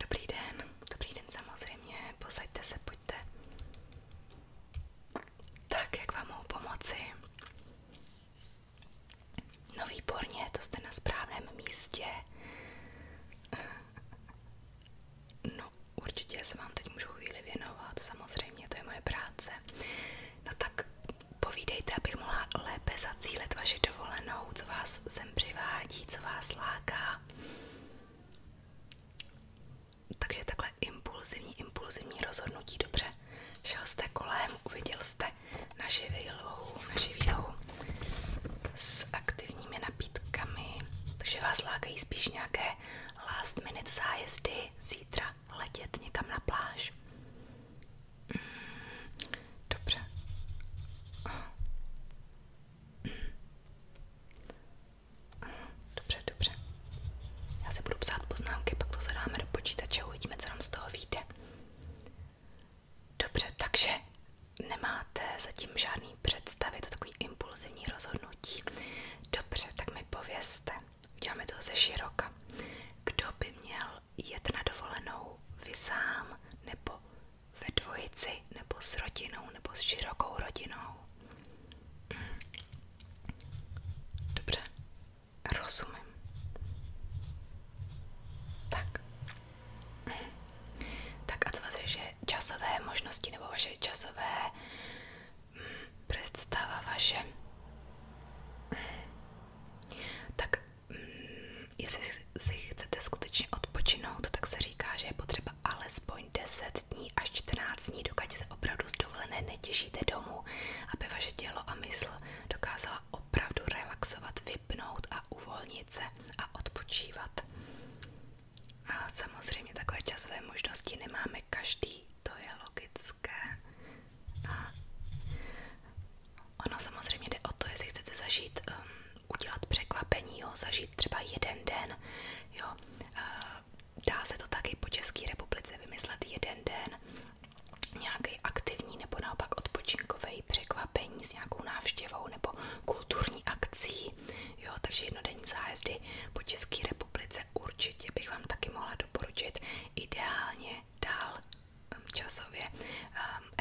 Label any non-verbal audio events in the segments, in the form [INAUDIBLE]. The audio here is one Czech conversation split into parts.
Dobrý den, dobrý den samozřejmě, posaďte se, pojďte. Tak, jak vám mohu pomoci? No výborně, to jste na správném místě. No, určitě se vám teď můžu chvíli věnovat, samozřejmě, to je moje práce. No tak povídejte, abych mohla lépe zacílit vaši dovolenou, co vás sem přivádí, vás láká. Takže takhle impulzivní, impulzivní rozhodnutí, dobře. Šel jste kolem, uviděl jste naši výlohu, naši výlohu s aktivními nabídkami, takže vás lákají spíš nějaké last minute zájezdy, zítra letět někam na pláž. Mm, dobře. Dobře, dobře. Já si budu psát poznámky, pak to zadáme do počítače uvidíme, co z toho vyjde. Dobře, takže nemáte zatím žádný představy, to takový impulzivní rozhodnutí. Dobře, tak mi povězte, uděláme to ze široka. Kdo by měl jet na dovolenou? Vy sám, nebo ve dvojici, nebo s rodinou, nebo s širokou rodinou? Hmm. Dobře, rozumím. Tak. Hmm. Tak a co vás že časové možnosti nebo vaše časové mm, představa vaše. Tak mm, jestli si chcete skutečně odpočinout, tak se říká, že je potřeba alespoň 10 dní až 14 dní, dokud se opravdu z dovolené netěšíte domů, aby vaše tělo a mysl dokázala opravdu relaxovat, vypnout a uvolnit se a odpočívat. A samozřejmě takové časové možnosti nemáme každý, to je logické. A ono samozřejmě jde o to, jestli chcete zažít, um, udělat překvapení, jo, zažít třeba jeden den, jo. dá se to taky po České republice vymyslet jeden den, nějaký aktivní nebo naopak odpočinkový překvapení s nějakou návštěvou nebo kulturní akcí. Jo, takže jednodenní zájezdy po České republice určitě bych vám taky mohla doporučit. Ideálně dál časově um,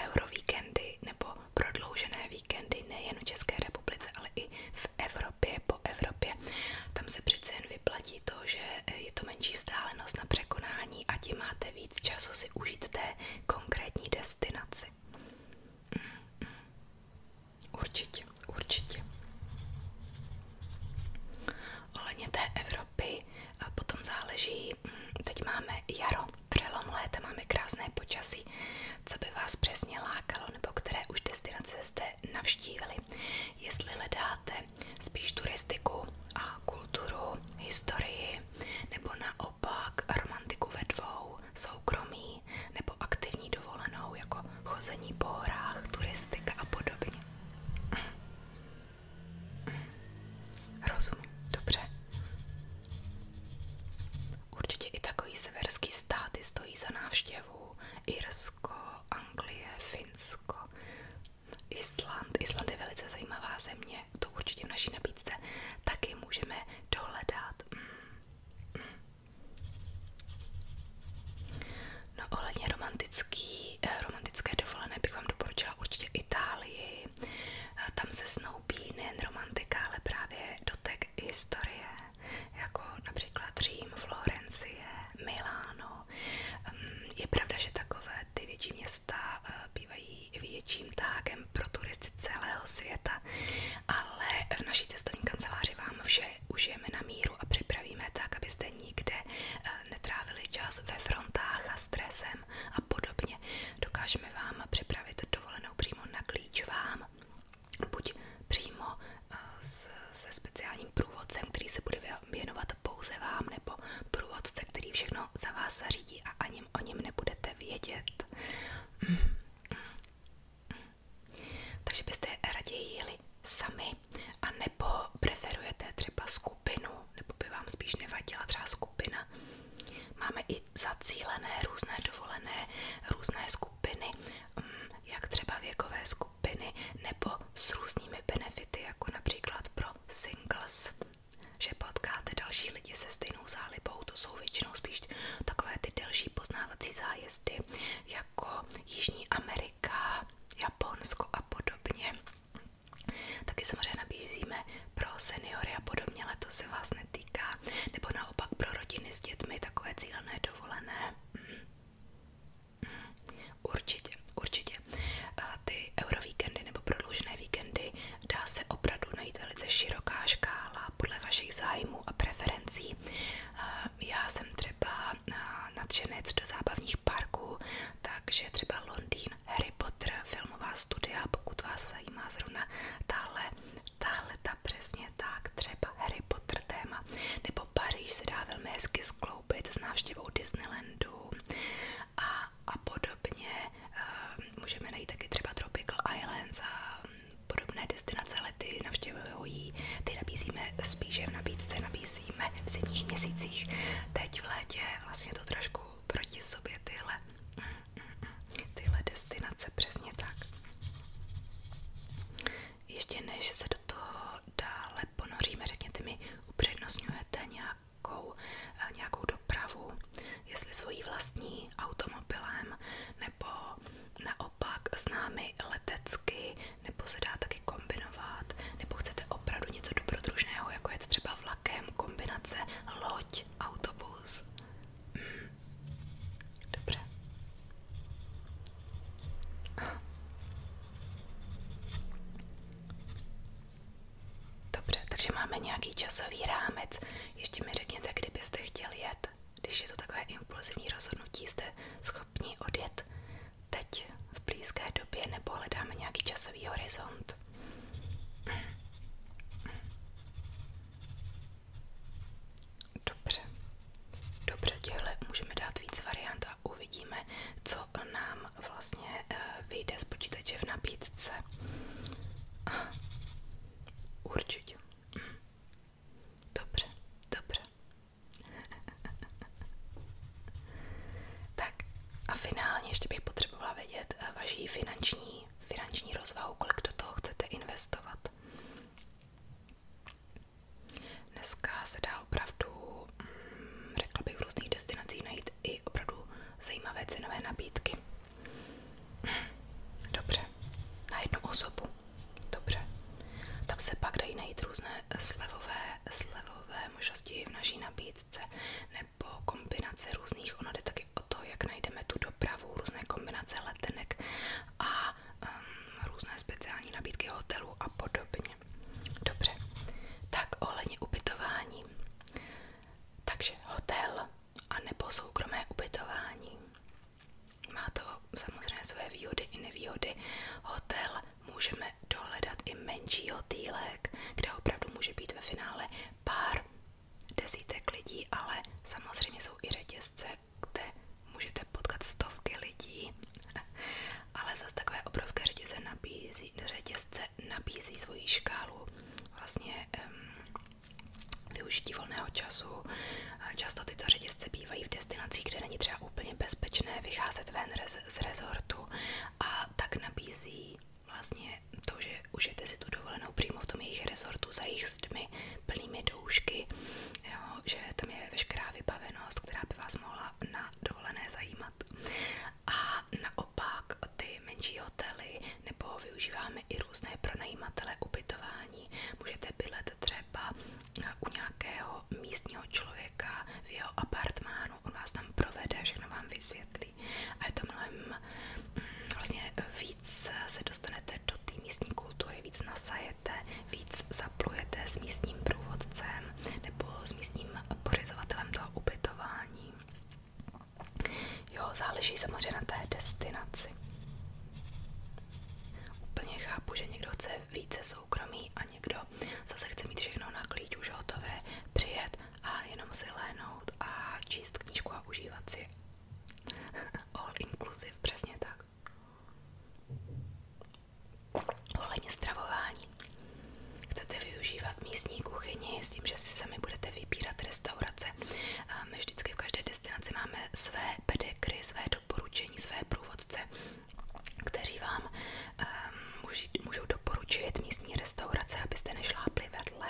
eurovíkendy nebo prodloužené víkendy nejen v České republice, ale i v Evropě, po Evropě. Tam se přece jen vyplatí to, že eh, je to menší vzdálenost na překonání a tím máte víc času si užít v té konkrétní destinaci asi. Určitě, určitě. Ohledně té Evropy potom záleží, hm, teď máme jaro, přelom léta, máme krásné počasí, co by vás přesně lákalo, nebo které už destinace jste navštívili. Jestli hledáte spíš turistiku a kulturu, historii, nebo naopak naopak romantiku ve dvou, soukromí nebo aktivní dovolenou, jako chození po horách, turistika a podobně. Rozumím, dobře. Určitě i takový severský státy stojí za návštěvu. Irsko, Anglie, Finsko, Island. Island je velice zajímavá země, to určitě v naší nabídce taky můžeme dohledat. Hmm. No ohledně romantický, eh, romantické dovolené bych vám doporučila určitě Itálii. Eh, tam se snoubí nejen romantika, ale právě dotek historie, jako například Řím, Florencie, Miláno. Ehm, je pravda, že takové ty větší města eh, bývají největším tágem pro turisty celého světa, ale v naší cestovní kanceláři vám vše užijeme na míru a připravíme tak, abyste nikde eh, netrávili čas ve frontách a stresem a podobně. Dokážeme vám připravit dovolenou přímo na klíč vám, buď přímo eh, se speciálním průvodcem, který se bude věnovat pouze vám, nebo průvodce, který všechno za vás zařídí a ani o něm nebudete vědět. Mm. Takže byste raději jeli sami, nebo preferujete třeba skupinu, nebo by vám spíš nevadila třeba skupina. Máme i zacílené různé dovolené, různé skupiny, mm, jak třeba věkové skupiny, nebo s různými benefity, jako například pro singles, že potkáte další lidi se stejným stejnou zálibou, to jsou většinou spíš takové ty delší poznávací zájezdy jako Jižní Amerika, Japonsko a podobně. Taky samozřejmě nabízíme pro seniory a podobně, ale to se vás netýká, nebo naopak pro rodiny s dětmi takové cílené dovolené. Mm. Mm. Určitě, určitě. Ty eurovíkendy nebo prodloužené víkendy Dá se opravdu najít velice široká škála podle vašich zájmů a preferencí. Já jsem třeba nadšenec do zábavních parků, takže třeba Londýn, Harry Potter, filmová studia, pokud vás zajímá zrovna tahle, tahle ta přesně tak, třeba Harry Potter téma, nebo Paříž se dá velmi hezky skloubit s návštěvou Disneylandu a, a podobně. Můžeme najít taky třeba Tropical Islands a podobné destinace, ale ty navštěvují ty nabízíme spíše v nabídce, nabízíme v zimních měsících. Teď v létě vlastně to trošku proti sobě tyhle, tyhle destinace, přesně tak. Ještě než se do toho dále ponoříme, řekněte mi, upřednostňujete nějakou, eh, nějakou dopravu, jestli svojí vlastní automobilem, nebo naopak s námi letecky, nebo se dá taky kombinovat, nebo chcete opravdu něco dobrodružného, jako je třeba vlakem, kombinace loď, autobus. Hmm. Dobře. Dobře, takže máme nějaký časový rámec, ještě mi řekněte, kdybyste chtěli jet, když je to takové impulzivní rozhodnutí, jste schopni odjet teď v blízké době nebo hledáme nějaký časový horizont. Dobře, dobře, těhle můžeme dát víc variant a uvidíme, co nám vlastně eh, vyjde z počítače Určitě. Dobře, dobře. [LAUGHS] tak a finálně ještě bych potřebovala vědět eh, vaši finanční, finanční rozvahu, kolik do toho chcete investovat. Dneska se dá opravdu, mm, řekla bych, v různých destinacích najít i opravdu zajímavé cenové nabídky. Dobře, na jednu osobu. Dobře. Tam se pak dají najít různé slevové, slevové možnosti v naší nabídce nebo kombinace různých. Ono jde taky o to, jak najdeme tu dopravu, různé kombinace letenek a um, různé speciální nabídky hotelů a podobně. Dobře, tak ohledně ubytování. Takže hotel a nebo soukromé ubytování. Má to samozřejmě své výhody i nevýhody. Hotel můžeme dohledat i menší hotýlek, kde opravdu může být ve finále pár desítek lidí, ale samozřejmě jsou i řetězce, kde můžete potkat stovky lidí. Ale zase takové obrovské řetězce nabízí, řetězce nabízí svoji škálu vlastně um, využití volného času. Často tyto řetězce bývají v destinacích, kde není třeba úplně bezpečné vycházet ven z rezortu a tak nabízí vlastně to, že užijete si tu dovolenou přímo v tom jejich rezortu za jejich zdmi plnými doušky, jo, že tam je veškerá vybavenost, která by vás mohla na dovolené zajímat. A naopak ty menší hotely nebo využíváme máme i různé pronajímatele ubytování. Můžete bydlet třeba u nějakého místního člověka v jeho apartmánu, on vás tam provede, všechno vám vysvětlí. A je to mnohem mm, vlastně víc se dostanete do té místní kultury, víc nasajete, víc zaplujete s místním průvodcem nebo s místním pořizovatelem toho ubytování. Jo, záleží samozřejmě na té destinaci. Úplně chápu, že někdo chce více soukromí a někdo zase chce mít všechno na klíč už hotové, přijet a jenom si léhnout a číst knížku a užívat si. [LAUGHS] All inclusive, přesně tak. Ohledně stravování. Chcete využívat místní kuchyni s tím, že si sami budete vybírat restaurace, my vždycky v každé destinaci máme své pedekry, své doporučení, své průvodce, kteří vám ehm, můžou doporučit místní restaurace, abyste nešlápli vedle.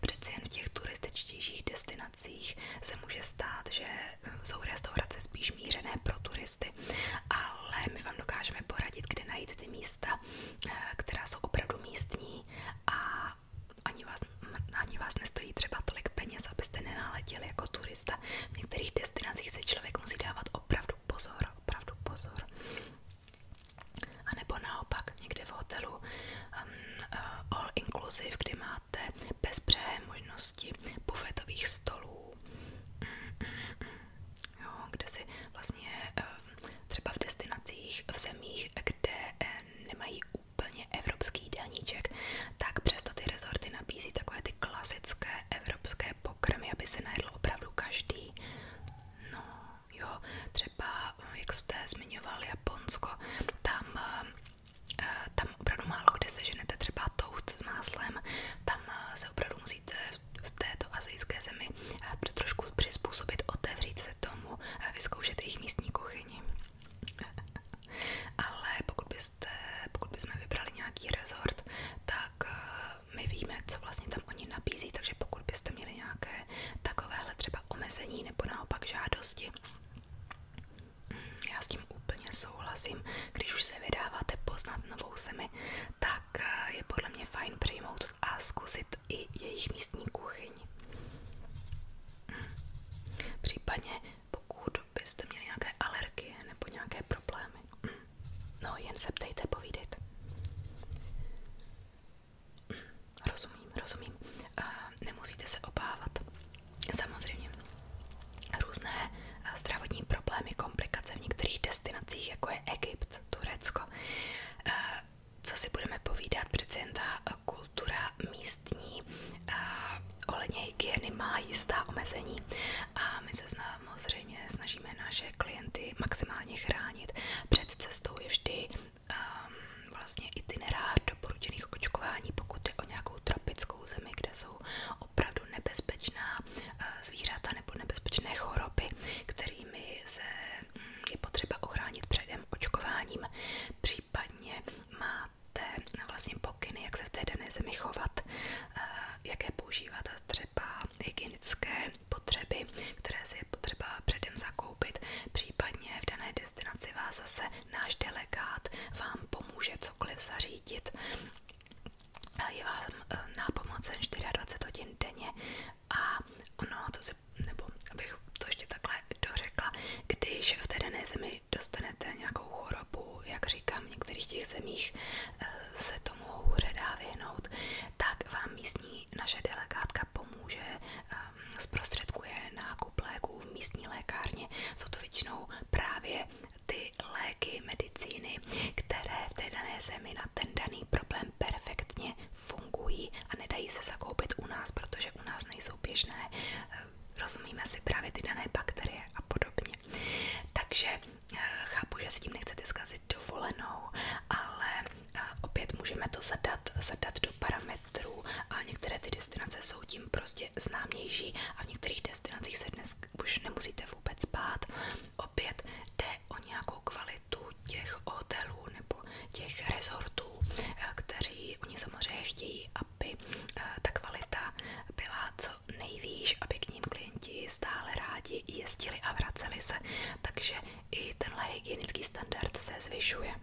Přeci jen v těch turističtějších destinacích se může stát, že ehm, jsou restaurace spíš mířené pro turisty, ale my vám dokážeme poradit, kde najít ty místa, eh, která jsou opravdu místní a a ani vás, ani vás nestojí třeba tolik peněz, abyste nenáletěli jako turista. V některých destinacích se člověk musí dávat opravdu pozor, opravdu pozor. A nebo naopak někde v hotelu um, uh, all inclusive, kdy máte bezbřehé možnosti bufetových stolů, mm, mm, mm, mm, jo, kde si vlastně um, třeba v destinacích, v zemích, kde um, nemají úplně evropský daníček, tak přesto ty rezorty nabízí takové ty klasické evropské pokrmy, aby se najedl opravdu každý. No jo, třeba, jak jste zmiňoval Japonsko, tam, eh, tam opravdu málo kde se ženete třeba toast s máslem, tam eh, se opravdu musíte v této azijské zemi eh, trošku přizpůsobit, otevřít se tomu, vyzkoušet jejich místní kuchyni kuchyni. [LAUGHS] Ale pokud, byste, pokud bychom vybrali nějaký rezort, tak eh, my víme, co vlastně tam oni nabízí, takže pokud byste měli nějaké takovéhle třeba omezení nebo naopak žádosti, já s tím úplně souhlasím. Když už se vydáváte poznat novou zemi, tak eh, je podle mě fajn přijmout a zkusit i jejich místní kuchyň. Případně pokud byste měli nějaké alergie nebo nějaké problémy. [CLEARS THROAT] No, jen se ptejte, povídejte. Rozumím, rozumím. Eh, nemusíte se obávat. Samozřejmě různé eh, zdravotní problémy, komplikace v některých destinacích, jako je Egypt, Turecko, eh, co si budeme povídat, přece jen ta kultura místní ohledně hygieny má jistá omezení a my se samozřejmě snažíme naše klienty maximálně chránit. Před cestou je vždy um, vlastně itinerář doporučených očkování, pokud jde o nějakou tropickou zemi, kde jsou opravdu nebezpečná uh, zvířata nebo nebezpečné choroby, kterými se mm, je potřeba ochránit předem nějakým očkováním, případně máte vlastně pokyny, jak se v té dané zemi chovat, eh, jaké používat třeba hygienické potřeby, které si je potřeba předem zakoupit, případně v dané destinaci vás zase náš delegát vám pomůže cokoliv zařídit. Je vám eh, nápomocen 24 hodin denně, a ono, to si, nebo abych to ještě takhle dořekla, když v té dané zemi dostanete nějakou chorobu, jak říkám, v některých těch zemích eh, se tomu hůře dá vyhnout, tak vám místní naše delegátka pomůže, eh, zprostředkuje nákup léků v místní lékárně. Jsou to většinou právě ty léky, medicíny, které v té dané zemi na ten daný problém perfektně vlastně fungují a nedají se zakoupit u nás, protože u nás nejsou běžné, eh, rozumíme si právě ty dané bakterie a podobně. Takže eh, chápu, že s tím nechcete zkazit dovolenou, ale eh, opět můžeme to zadat, zadat do parametrů a některé ty destinace jsou tím prostě známější a v některých destinacích se dnes už nemusíte vůbec bát. Opět jde o nějakou kvalitu těch hotelů nebo těch rezortů, eh, kteří oni samozřejmě chtějí, aby eh, ta kvalita byla co nejvýš, aby k ním klienti stále rádi jezdili a vraceli se. Takže i tenhle hygienický standard se zvyšuje.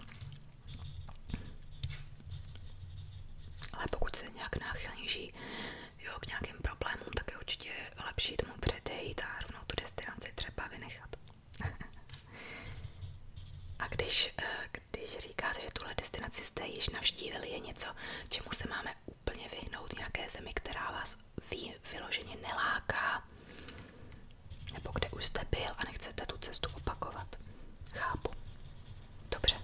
Ale pokud se nějak náchylnější jo, k nějakým problémům, tak je určitě lepší tomu předejít a rovnou tu destinaci třeba vynechat. A když, eh, když říkáte, že tuhle destinaci jste již navštívili, je něco, čemu se máme úplně vyhnout, nějaké zemi, která vás vy, vyloženě neláká, nebo kde už jste byl a nechcete tu cestu opakovat. Chápu. Dobře.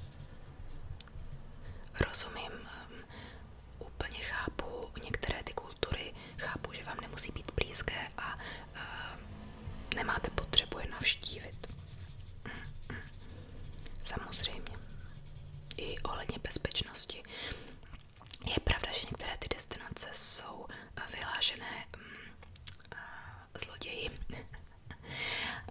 Rozumím, ehm, úplně chápu některé ty kultury, chápu, že vám nemusí být blízké, a, a nemáte potřebu je navštívit. Samozřejmě. I ohledně bezpečnosti. Je pravda, že některé ty destinace jsou eh, vyhlášené mm, eh, zloději.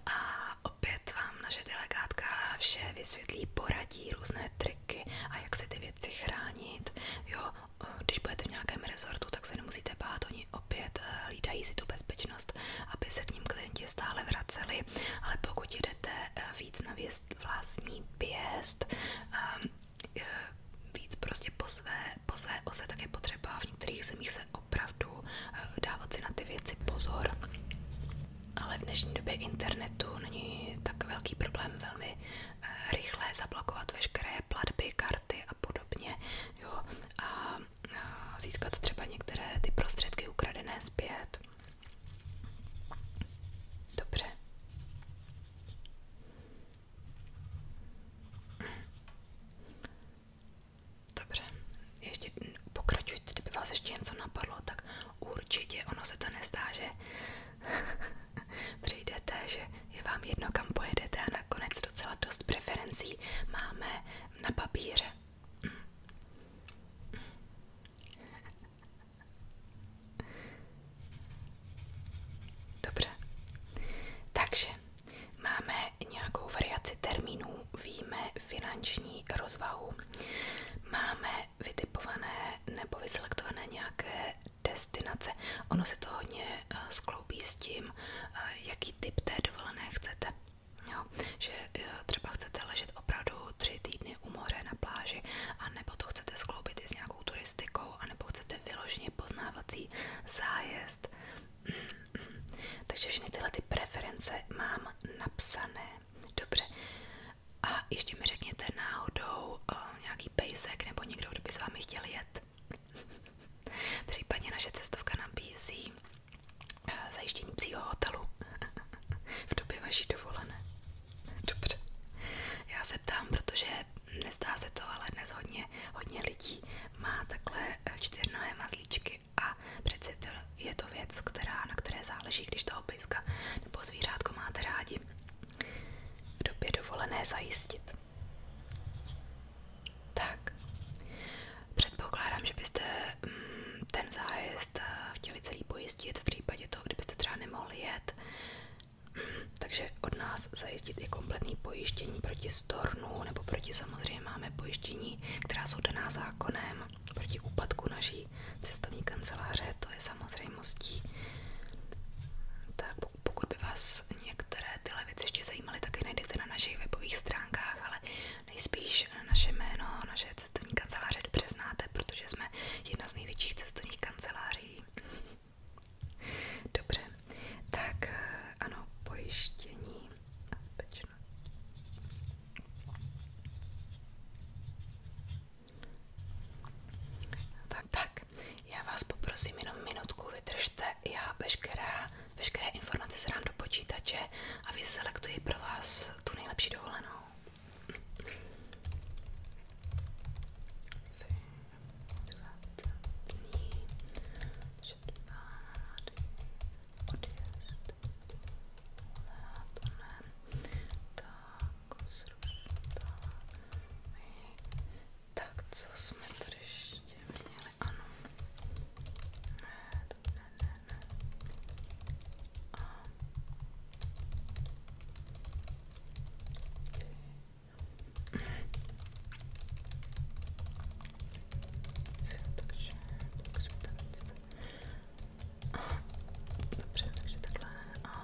A opět vám naše delegátka vše vysvětlí, poradí různé triky a jak se ty věci chránit. Jo, když budete v nějakém rezortu, tak se nemusíte bát, oni opět eh, hlídají si tu bezpečnost, aby se k ním klienti stále vraceli, ale pokud jedete eh, víc na věst, vlastní pěst, ehm, víc prostě po své, po své ose, tak je potřeba v některých zemích se opravdu eh, dávat si na ty věci pozor. Ale v dnešní době internetu není tak velký problém velmi rychle zablokovat veškeré platby, karty, karty a podobně, jo, a získat třeba některé ty prostředky ukradené zpět. Dobře. Dobře, ještě pokračujte, kdyby vás ještě něco napadlo, tak určitě ono se to nezdá, že [LAUGHS] [LAUGHS] přijdete, že je vám jedno, kam pojedete a nakonec docela dost preferencí máme na papíře. [LAUGHS] Dobře, takže máme nějakou variaci termínů, víme finanční rozvahu, máme vytipované nebo vyselektované nějaké destinace. Ono se to hodně eh, skloubí s tím, eh, jaký typ té dovolené chcete. Jo, že eh, třeba chcete ležet opravdu tři týdny u moře na pláži, a nebo to chcete skloubit i s nějakou turistikou, nebo chcete vyloženě poznávací zájezd. Mm-hmm. Takže všechny tyhle ty preference mám napsané. Dobře. A ještě mi řekněte náhodou nějaký pejsek nebo někdo, kdo by s vámi chtěl jet. Případně naše cestovka nabízí eh, zajištění psího hotelu [LAUGHS] v době vaší dovolené. Dobře. Já se ptám, protože nezdá se to, ale dnes hodně, lidí má takhle eh, čtyřnohé mazlíčky a přece je to věc, která, na které záleží, když toho pejska nebo zvířátko máte rádi. V době dovolené zajistit. Tak, předpokládám, že byste mm, ten zájezd eh, chtěli celý pojistit v případě toho, kdybyste třeba nemohli jet. Takže od nás zajistit i kompletní pojištění proti stornu nebo proti samozřejmě máme pojištění, která jsou daná zákonem proti úpadku naší cestovní kanceláře, to je samozřejmostí. Tak pokud by vás některé tyhle věci ještě zajímaly, tak je najdete na našich webových stránkách, ale nejspíš naše jméno, naše cestovní kanceláře dobře znáte, protože jsme jedna z největších cestovních kanceláří. Dobře, tak eh, ano, pojištění a bezpečnost. Tak, já vás poprosím jenom minutku, vydržte, já veškerá, veškeré informace zrám do počítače a vyselektuji pro vás tu nejlepší dovolenou. Tak, co jsme tady ještě měli? Ano. Ne, to ne, ne, ne. A. Takže, takže, takže, takže. Dobře, takže takhle a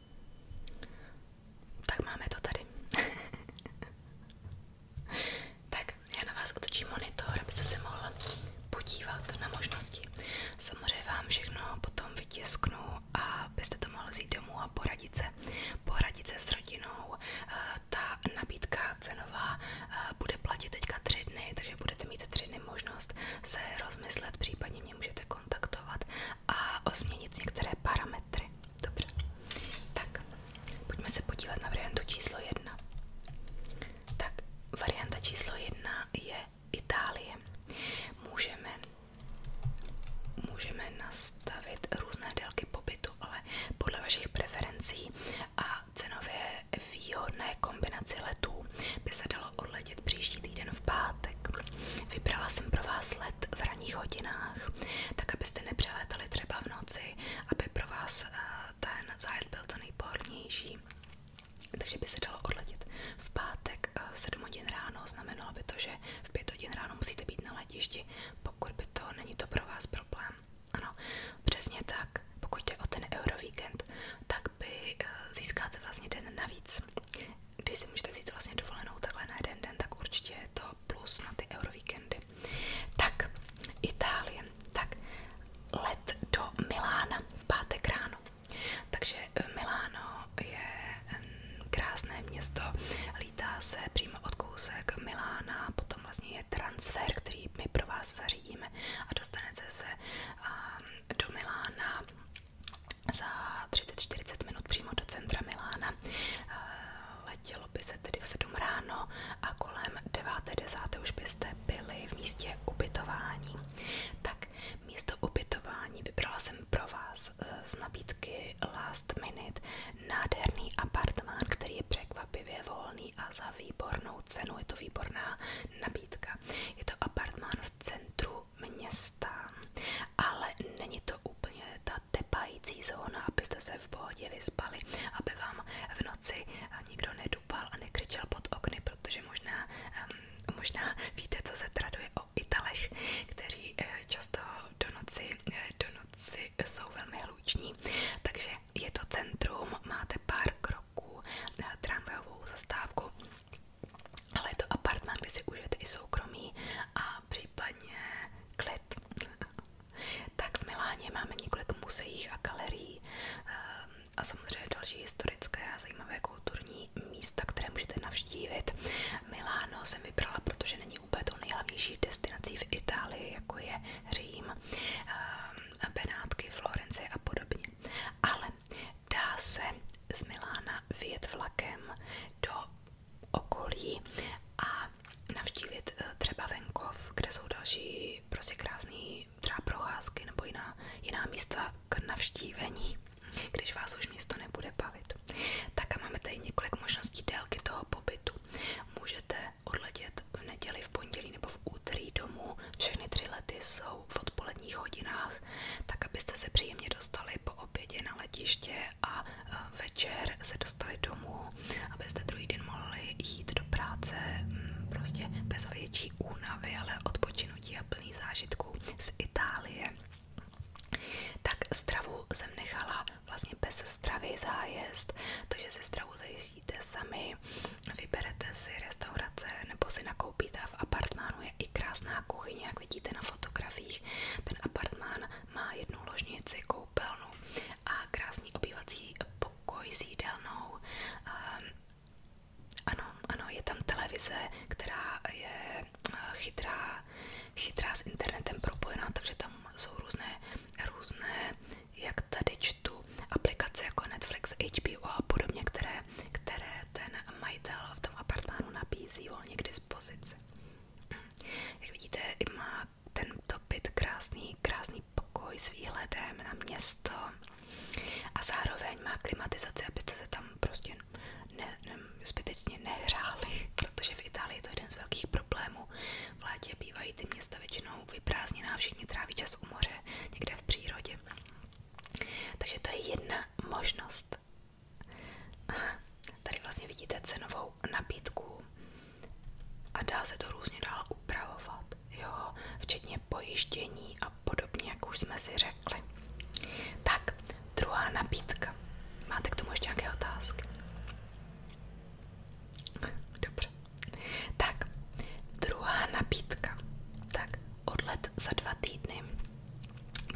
Tak máme to tady. [LAUGHS] tak, já na vás otočím monitor, abyste se mohla podívat na možnosti. Samozřejmě vám všechno potom vytisknu a byste to mohli vzít a poradit se. s rodinou. Eh, ta nabídka cenová eh, bude platit teďka tři dny, takže budete mít tři dny možnost se rozmyslet, případně mě můžete kontaktovat a osměnit některé parametry metry. Dobře. Tak, pojďme se podívat na variantu číslo jedna. Tak, varianta číslo jedna je Itálie. Můžeme, můžeme nastavit různé délky pobytu, ale podle vašich preferencí a cenově výhodné kombinaci letů by se dalo odletět příští týden v pátek. Vybrala jsem pro vás let let v ranních hodinách, tak abyste nepřelétali třeba v noci, aby pro vás eh, ten zájezd byl co nejpohodlnější. Takže by se dalo odletět v pátek eh, v 7 hodin ráno, znamenalo by to, že v 5 hodin ráno musíte být na letišti, pokud by to není to pro vás problém. Ano, přesně tak, pokud jde o ten Eurovíkend, tak by eh, získáte vlastně den navíc když si můžete vzít vlastně dovolenou takhle na jeden den, tak určitě je to plus na ty eurovíkendy. Tak, Itálie. Tak, let do Milána v pátek ráno. Takže eh, Miláno je krásné město, lítá se přímo od kousek Milána, potom vlastně je transfer, který my pro vás zařídíme a dostanete se do Milána za 30-40 minut přímo do centra Milána. Eh, letělo by tedy v ráno a kolem 9.10. už byste byli v místě ubytování. Tak místo ubytování vybrala jsem pro vás eh, z nabídky Last Minute nádherný apartmán, který je překvapivě volný a za výbornou cenu. Je to výborná nabídka. Je to apartmán v centru centru města, ale není to úplně ta tepající zóna, abyste se v pohodě vyspali, aby vám v noci nikdo nedupal a nekryčel pod okny, protože možná, možná víte, co se traduje o Italech, kteří eh, často do noci, eh, do noci jsou velmi hluční. Takže je to centrum, máte pár kroků, tramvajovou zastávku ale je to apartmán, kde si užijete i soukromí a případně klid. [LAUGHS] tak v Miláně máme několik muzeí a galerií ehm, a samozřejmě další historické a zajímavé kulturní místa, které můžete navštívit. Miláno jsem vybrala, protože není úplně to nejhlavnější destinací v Itálii, jako je Řím, ehm, Benátky, Florence a podobně. Ale dá se z Milána vyjet vlakem do okolí a navštívit eh, třeba venkov, kde jsou další prostě krásný třeba procházky nebo jiná, jiná místa k navštívení, když vás už město nebude bavit. Tak a máme tady několik možností délky toho pobytu. Můžete odletět v neděli, v pondělí nebo v úterý domů. Všechny tři lety jsou v odpoledních hodinách, tak abyste se příjemně dostali po obědě na letiště a večer se dostali domů, abyste druhý den mohli jít do práce mm, prostě bez větší únavy, ale odpočinutí a plný zážitků z Itálie. Tak stravu jsem nechala vlastně bez stravy zájezd, takže si stravu zajistíte sami, vyberete si restaurace nebo si nakoupíte v apartmánu je i krásná kuchyně, jak vidíte na fotografiích. Ten apartmán má jednu ložnici, koupelnu a krásný obývací pokoj s jídelnou. Ehm, ano, ano, je tam televize, která je eh, chytrá, chytrá s internetem propojená, takže tam jsou různé, různé, jak tady čtu, aplikace jako Netflix, HBO a podobně, které, které ten majitel v tom apartmánu nabízí volně k dispozici. Jak vidíte, má tento byt krásný, krásný pokoj s výhledem na město a zároveň má klimatizaci, abyste se tam prostě ne, ne, zbytečně nehráli, protože v Itálii je to jeden z velkých problémů. V létě bývají ty města většinou vyprázdněná, všichni tráví čas u moře, někde v přírodě. Takže to je jedna možnost. Tady vlastně vidíte cenovou nabídku a dá se to různě dál upravovat, jo, včetně pojištění a podobně, jak už jsme si řekli. Tak, druhá nabídka. Máte k tomu ještě nějaké otázky? Dobře. Tak, druhá nabídka. Tak, odlet za dva týdny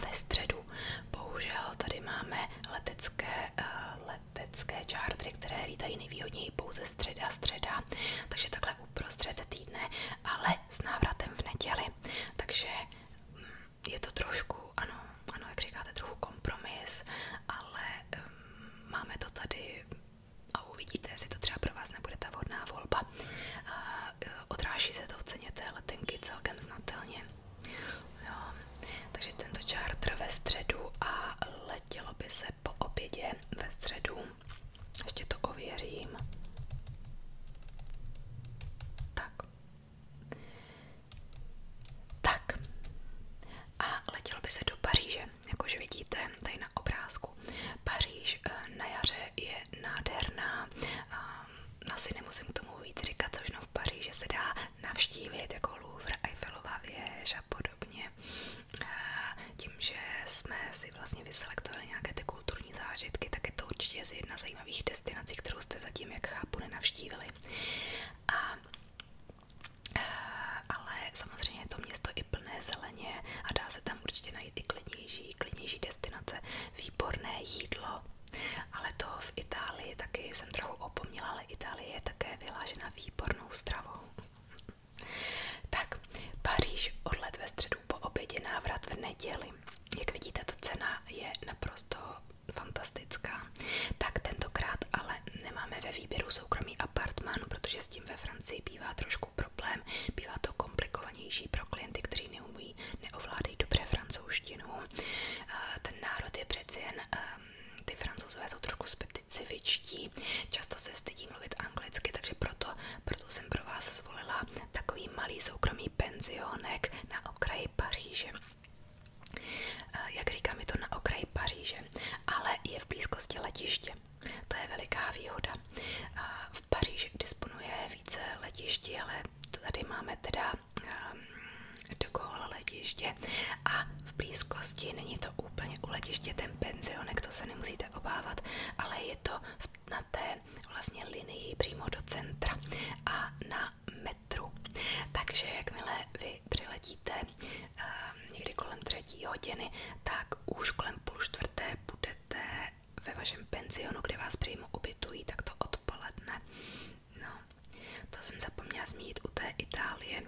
ve středu letů. Bohužel tady máme letecké, eh, letecké čártry, které lítají nejvýhodněji pouze středa středa, takže takhle uprostřed týdne, ale s návratem v neděli. Takže mm, je to trošku, ano, ano, jak říkáte, trochu kompromis, ale um, máme to tady a uvidíte, jestli to třeba pro vás nebude ta vhodná volba. Uh, Eh, odráží se to v ceně té letenky celkem znatelně. Jo. Takže tento charter ve středu a letělo by se po obědě ve středu. Ještě to ověřím. Tak. Tak. A letělo by se do Paříže, jakože vidíte tady na obrázku. Paříž eh, na jaře je nádherná asi nemusím k tomu víc říkat, což no v Paříži se dá navštívit jako Louvre, Eiffelova věž a podobně. Tím, že jsme si vlastně vyselektovali nějaké ty kulturní zážitky, tak je to určitě z jedna zajímavých destinací, kterou jste zatím, jak chápu, nenavštívili. A, ale samozřejmě je to město i plné zeleně a dá se tam určitě najít i klidnější, klidnější destinace, výborné jídlo ale to v Itálii taky jsem trochu opomněla, ale Itálie je také vylážena výbornou stravou. tak, Paříž odlet ve středu po obědě, návrat v neděli. Jak vidíte, ta cena je naprosto fantastická. Tak tentokrát ale nemáme ve výběru soukromý apartman, protože s tím ve Francii bývá trošku problém. Bývá to komplikovanější pro klienty, kteří neumí, neovládají dobře francouzštinu Eh, ten národ je přeci jen, ehm, ty francouzové jsou trochu specifičtí, často se stydí mluvit anglicky, takže proto, proto jsem pro vás zvolila takový malý soukromý penzionek na okraji Paříže. Eh, jak říkám, je to na okraji Paříže, ale je v blízkosti letiště. To je veliká výhoda. Eh, v Paříži disponuje více letišti, ale to tady máme teda Ehm, dokola letiště a v blízkosti není to úplně u letiště ten penzionek, to se nemusíte obávat, ale je to na té vlastně linii přímo do centra a na metru. Takže jakmile vy přiletíte um, někdy kolem třetí hodiny, tak už kolem půl čtvrté budete ve vašem penzionu, kde vás přímo ubytují, tak to odpoledne No, to jsem zapomněla u té Itálie.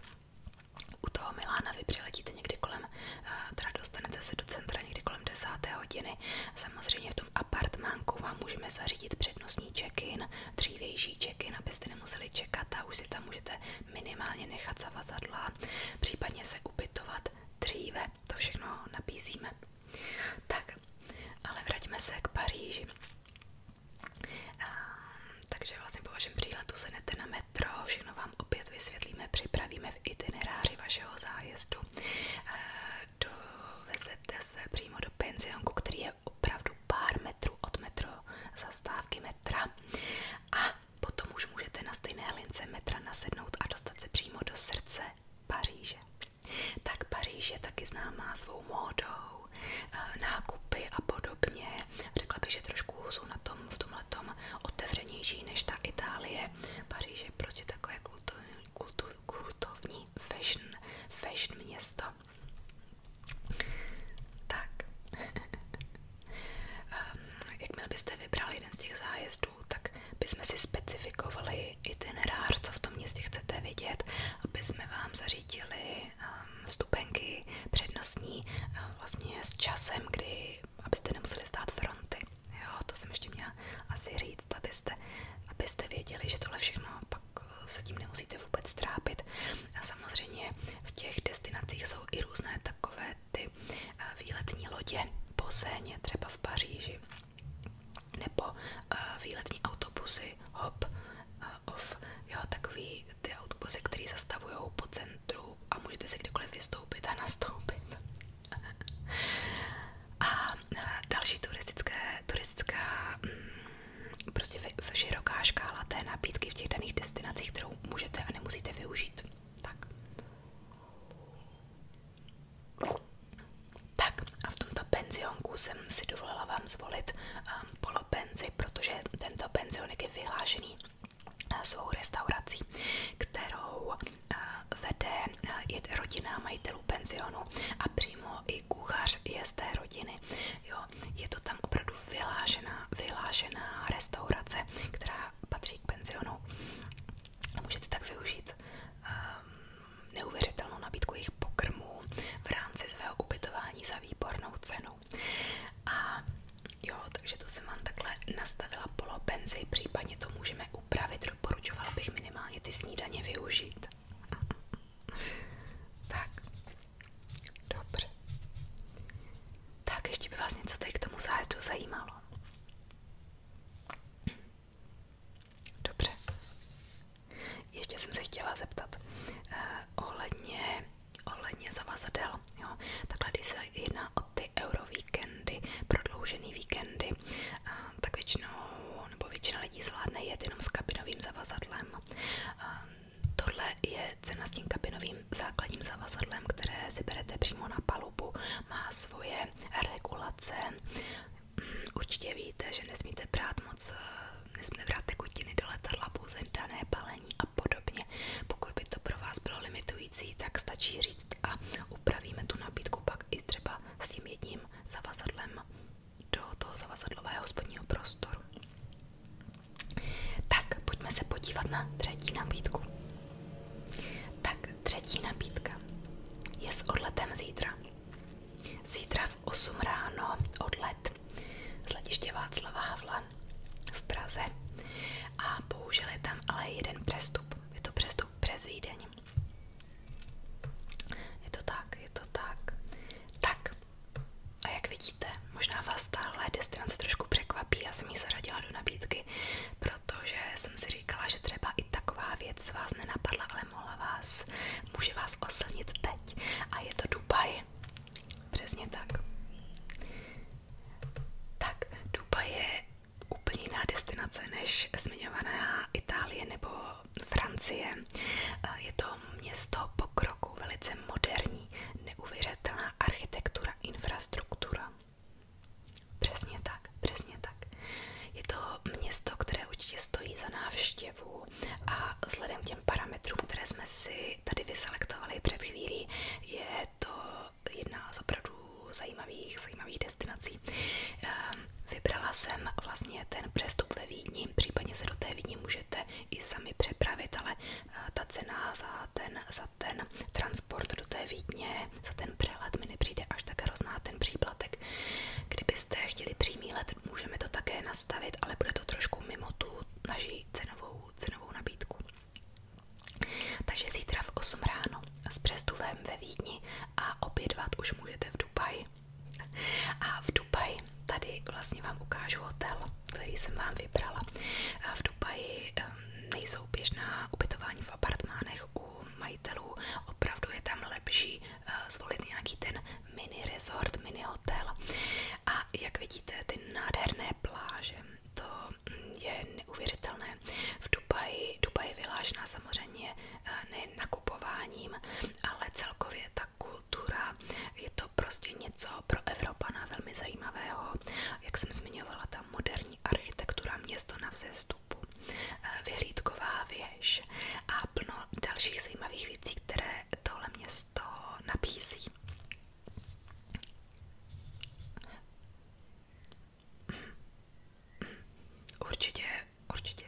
U toho Milána vy někdy kolem, eh, teda dostanete se do centra někdy kolem 10. hodiny. Samozřejmě v tom apartmánku vám můžeme zařídit přednostní check-in, dřívější check-in, abyste nemuseli čekat a už si tam můžete minimálně nechat zavazadla, případně se ubytovat dříve. To všechno nabízíme. Tak, ale vraťme se k Paříži. A, takže vlastně po vašem příletu sednete na metro, všechno vám opět vysvětlíme, připravíme v itineráři vašeho zájezdu. A, dovezete se přímo do pensionku, který je opravdu pár metrů od metro, zastávky metra. A potom už můžete na stejné lince metra nasednout a dostat se přímo do srdce Paříže. Tak Paříž je taky známá svou módou, eh, nákupy a podobně. Řekla bych, že trošku jsou na tom v tomhle tom otevřenější než ta Itálie. Paříž je prostě takové kultovní, kultov, kultovní fashion, fashion město. Tak, [LAUGHS] ehm, jakmile byste vybrali jeden z těch zájezdů, tak bychom si specifikovali, i itinerář, co v tom městě chcete vidět, aby jsme vám zařídili um, stupenky přednostní um, vlastně s časem, kdy abyste nemuseli stát fronty. Jo, to jsem ještě měla asi říct, abyste, abyste věděli, že tohle všechno pak uh, se tím nemusíte vůbec trápit. A samozřejmě v těch destinacích jsou i různé takové ty uh, výletní lodě po Séně, třeba v Paříži nebo uh, výletní autobusy hop uh, off, jo, takový ty autobusy, které zastavují po centru a můžete si kdekoliv vystoupit a nastoupit. [LAUGHS] a eh, další turistické, turistická mm, prostě v, v široká škála té nabídky v těch daných destinacích, kterou můžete a nemusíte využít. Tak. Tak a v tomto penzionku jsem si dovolila vám zvolit um, polopenzi, protože tento penzionek je vyhlášený uh, svou restaurací, kterou eh, vede uh, eh, rodina majitelů penzionu a přímo i kuchař je z té rodiny. Jo, je to tam opravdu vyhlášená, vyhlášená restaurace, která patří k penzionu. Můžete tak využít ehm, neuvěřitelnou nabídku jejich pokrmů v rámci svého ubytování za výbornou cenu. A jo, takže to jsem vám takhle nastavila polopenzi, případně to můžeme upravit, doporučovala bych minimálně ty snídaně využít. [LAUGHS] tak, dobře. Tak ještě by vás něco tady k tomu zájezdu zajímalo. Dobře. Ještě jsem se chtěla zeptat eh, ohledně, ohledně zavazadel. Jo? Takhle, když se jedná o ty eurovíkendy, prodloužený víkendy, eh, tak většinou, nebo většina lidí zvládne jet jenom s kabinovým zavazadlem. Eh, Tohle je cena s tím kabinovým základním zavazadlem, které si berete přímo na palubu. Má svoje regulace, Určitě víte, že nesmíte brát moc, eh, nesmíte brát tekutiny do letadla, pouze dané balení a podobně. Pokud by to pro vás bylo limitující, tak stačí říct a upravíme tu nabídku pak i třeba s tím jedním zavazadlem do toho zavazadlového spodního prostoru. Tak, pojďme se podívat na třetí nabídku. Tak, třetí nabídka je s odletem zítra. Zítra v 8 ráno odlet z letiště Václava Havla v Praze a použili tam ale jeden přestup. Je to přestup přes Vídeň. Je to tak, je to tak. Tak, a jak vidíte, možná vás tahle destinace trošku překvapí, já jsem ji zaradila do nabídky, protože jsem si říkala, že třeba i taková věc vás nenapadla, ale mohla vás může vás oslnit teď. A je to Dubaj. Přesně tak. Tak, Dubaj je úplně jiná destinace než zmiňovaná Itálie nebo Francie. Eh, je to město pokroku, velice moderní, neuvěřitelná architektura, infrastruktura. Přesně tak, přesně tak tak. Je to město, které určitě stojí za návštěvu a vzhledem k těm parametrům, které jsme si tady vyselektovali před chvílí, je to jedna z opravdu zajímavých, zajímavých destinací. Ehm, vybrala jsem vlastně ten přestup ve Vídni, případně se do té Vídni můžete i sami přepravit, ale eh, ta cena za ten, za ten transport do té Vídně, za ten přestup let mi nepřijde až tak hrozná ten příplatek. Kdybyste chtěli přímý let, můžeme to také nastavit, ale bude to trošku mimo tu naši cenovou, cenovou nabídku. Takže zítra v 8 ráno s přestuvem ve Vídni a obědvat už můžete v Dubaji. A v Dubaji tady vlastně vám ukážu hotel, který jsem vám vybrala. A v Dubaji ehm, nejsou běžná ubytování v apartmánech u majitelů, opravdu je tam lepší Eh, zvolit nějaký ten mini resort, mini hotel. A jak vidíte, ty nádherné pláže, to mm, je neuvěřitelné. V Dubaji, Dubaj je vylážená samozřejmě eh, nejen nakupováním, ale celkově ta kultura, je to prostě něco pro Evropana velmi zajímavého. Jak jsem zmiňovala, ta moderní architektura město na vzestupu vstupu eh, vyhlídková věž a plno dalších zajímavých věcí, které tohle město nabízí. Určitě, určitě.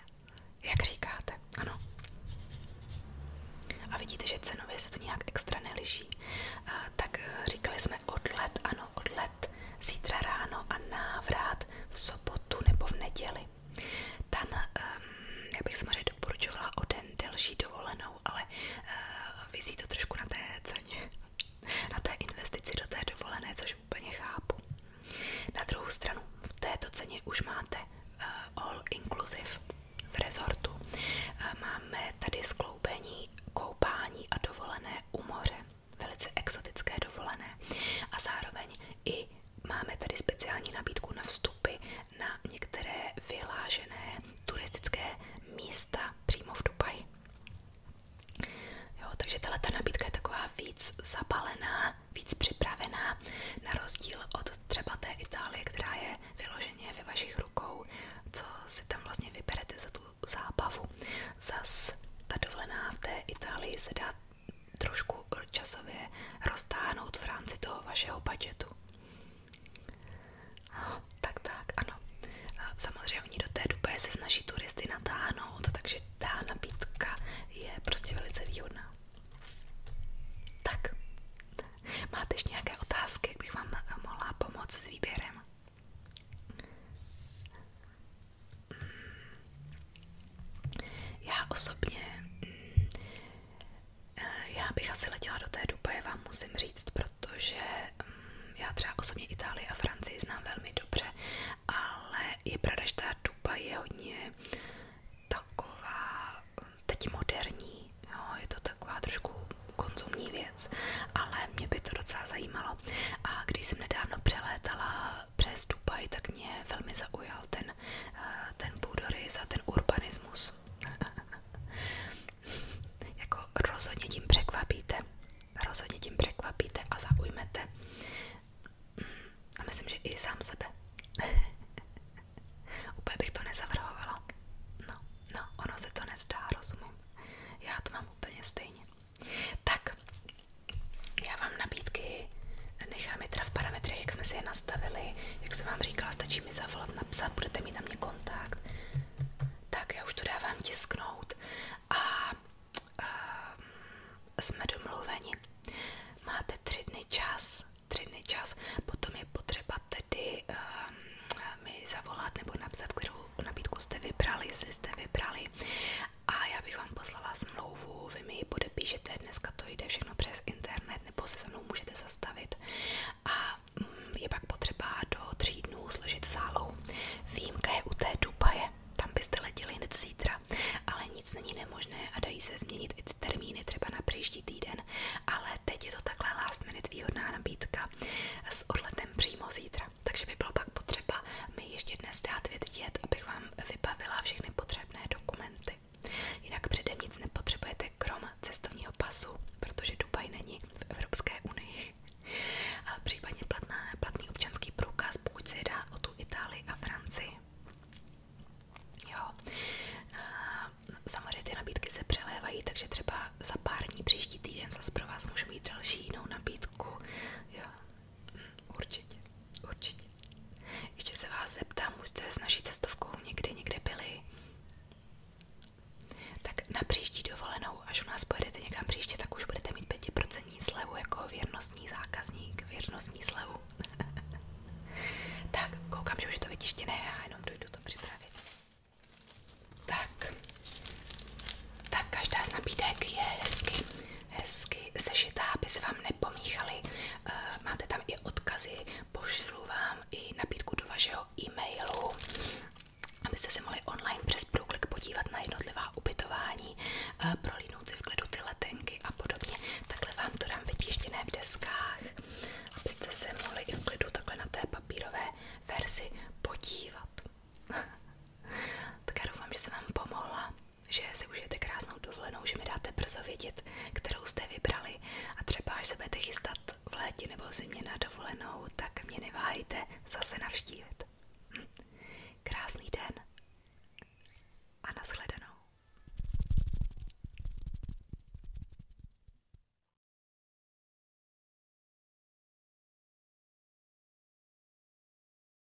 Jak říkáte, ano. A vidíte, že cenově se to nějak extra eh, Tak eh, říkali jsme odlet, ano, odlet zítra ráno a návrat v sobotu nebo v neděli. Tam, ehm, bych samozřejmě doporučovala o delší dovolenou, ale uh, trošku na té ceně, [LAUGHS] na té investici do té dovolené, což úplně chápu. Na druhou stranu, v této ceně už máte eh, all inclusive v rezortu. Eh, máme tady skloubení koupání a dovolené u moře velice exotické dovolené. A zároveň i máme tady speciální nabídku na vstupy na některé vylážené turistické místa přímo v Dubaji. Jo, takže tahle ta nabídka je taková víc zabalená, víc připravená, na rozdíl od třeba té Itálie, která je vyloženě ve vašich rukou, co si tam vlastně vyberete za tu zábavu. Zas ta dovolená v té Itálii se dá trošku časově roztáhnout v rámci toho vašeho budgetu. No, tak tak, ano. Samozřejmě oni do té doby se snaží turisty natáhnout, takže ta nabídka je prostě velice výhodná. Tak, máte ještě nějaké otázky, jak bych vám mohla pomoci s výběrem? Já osobně, mm, eh, já bych asi letěla do té Dubaje, vám musím říct, protože mm, já třeba osobně Itálii a Francii znám velmi dobře, ale je pravda, že ta Dubaj je hodně taková teď moderní, jo, je to taková trošku konzumní věc, ale mě by to docela zajímalo. A když jsem nedávno přelétala přes Dubaj, tak mě velmi zaujal ten, eh, ten půdorys za ten urbanismus. [LAUGHS] jako rozhodně tím překvapíte. Rozhodně tím překvapíte a zaujmete. Mm, a myslím, že i sám sebe. [LAUGHS] Úplně bych to nezavrhovala. No, no, ono se to nezdá, rozumím. Já to mám úplně stejně. Tak, já vám nabídky nechám je teda v parametrech, jak jsme si je nastavili. Jak jsem vám říkala, stačí mi zavolat, napsat, budete mít na mě kontakt. Tak, já už to dávám tisknout a, a jsme domluveni. Máte tři dny čas, tři dny čas, potom je potřeba tedy ehm, mi zavolat nebo napsat, kterou nabídku jste vybrali, jestli jste vybrali a já bych vám poslala smlouvu, vy mi ji podepíšete, dneska to jde všechno přes internet, nebo se se mnou můžete zastavit a mm, je pak potřeba do tří dnů složit zálou. Výjimka je u té Dubaje, tam byste letěli hned zítra, ale nic není nemožné a dají se změnit i ty termíny třeba na příští týden, ale teď je to takhle last minute výhodná nabídka s odletem přímo zítra, takže by bylo pak potřeba potřeba mi ještě dnes dát vědět, abych vám vybavila všechny potřebné dokumenty. Jinak předem nic nepotřebujete krom cestovního pasu, protože Dubaj není v Evropské unii. A případně platná, platný občanský průkaz, pokud se jedná o tu Itálii a Francii. Jo. A samozřejmě ty nabídky se přelévají, takže třeba za pár dní příští týden zase pro vás můžu mít další jinou nabídku. Jo. Hm, určitě, určitě. Ještě se vás zeptám, už jste s naší cestovkou někdy někde byli? Tak na příští dovolenou, až u nás pojedete někam příště, tak už budete mít 5% slevu jako věrnostní zákazník, věrnostní slevu. [LAUGHS] tak, koukám, že už je to vytištěné, já jenom dojdu to připravit. Tak, tak každá z nabídek je hezky hezky sešitá, aby se vám nepomíchaly. Eh, máte tam i odkazy, pošlu vám i nabídku do vašeho e-mailu, abyste se mohli online přes průklik podívat na jednotlivá ubytování, eh, prolínout si v klidu ty letenky a podobně. Takhle vám to dám vytištěné v deskách, abyste se mohli i v klidu takhle na té papírové verzi podívat. [LAUGHS] tak já doufám, že jsem vám pomohla že si užijete krásnou dovolenou, že mi dáte brzo vědět, kterou jste vybrali a třeba až se budete chystat v létě nebo zimě na dovolenou, tak mě neváhejte zase navštívit. Hm. Krásný den a nashledanou.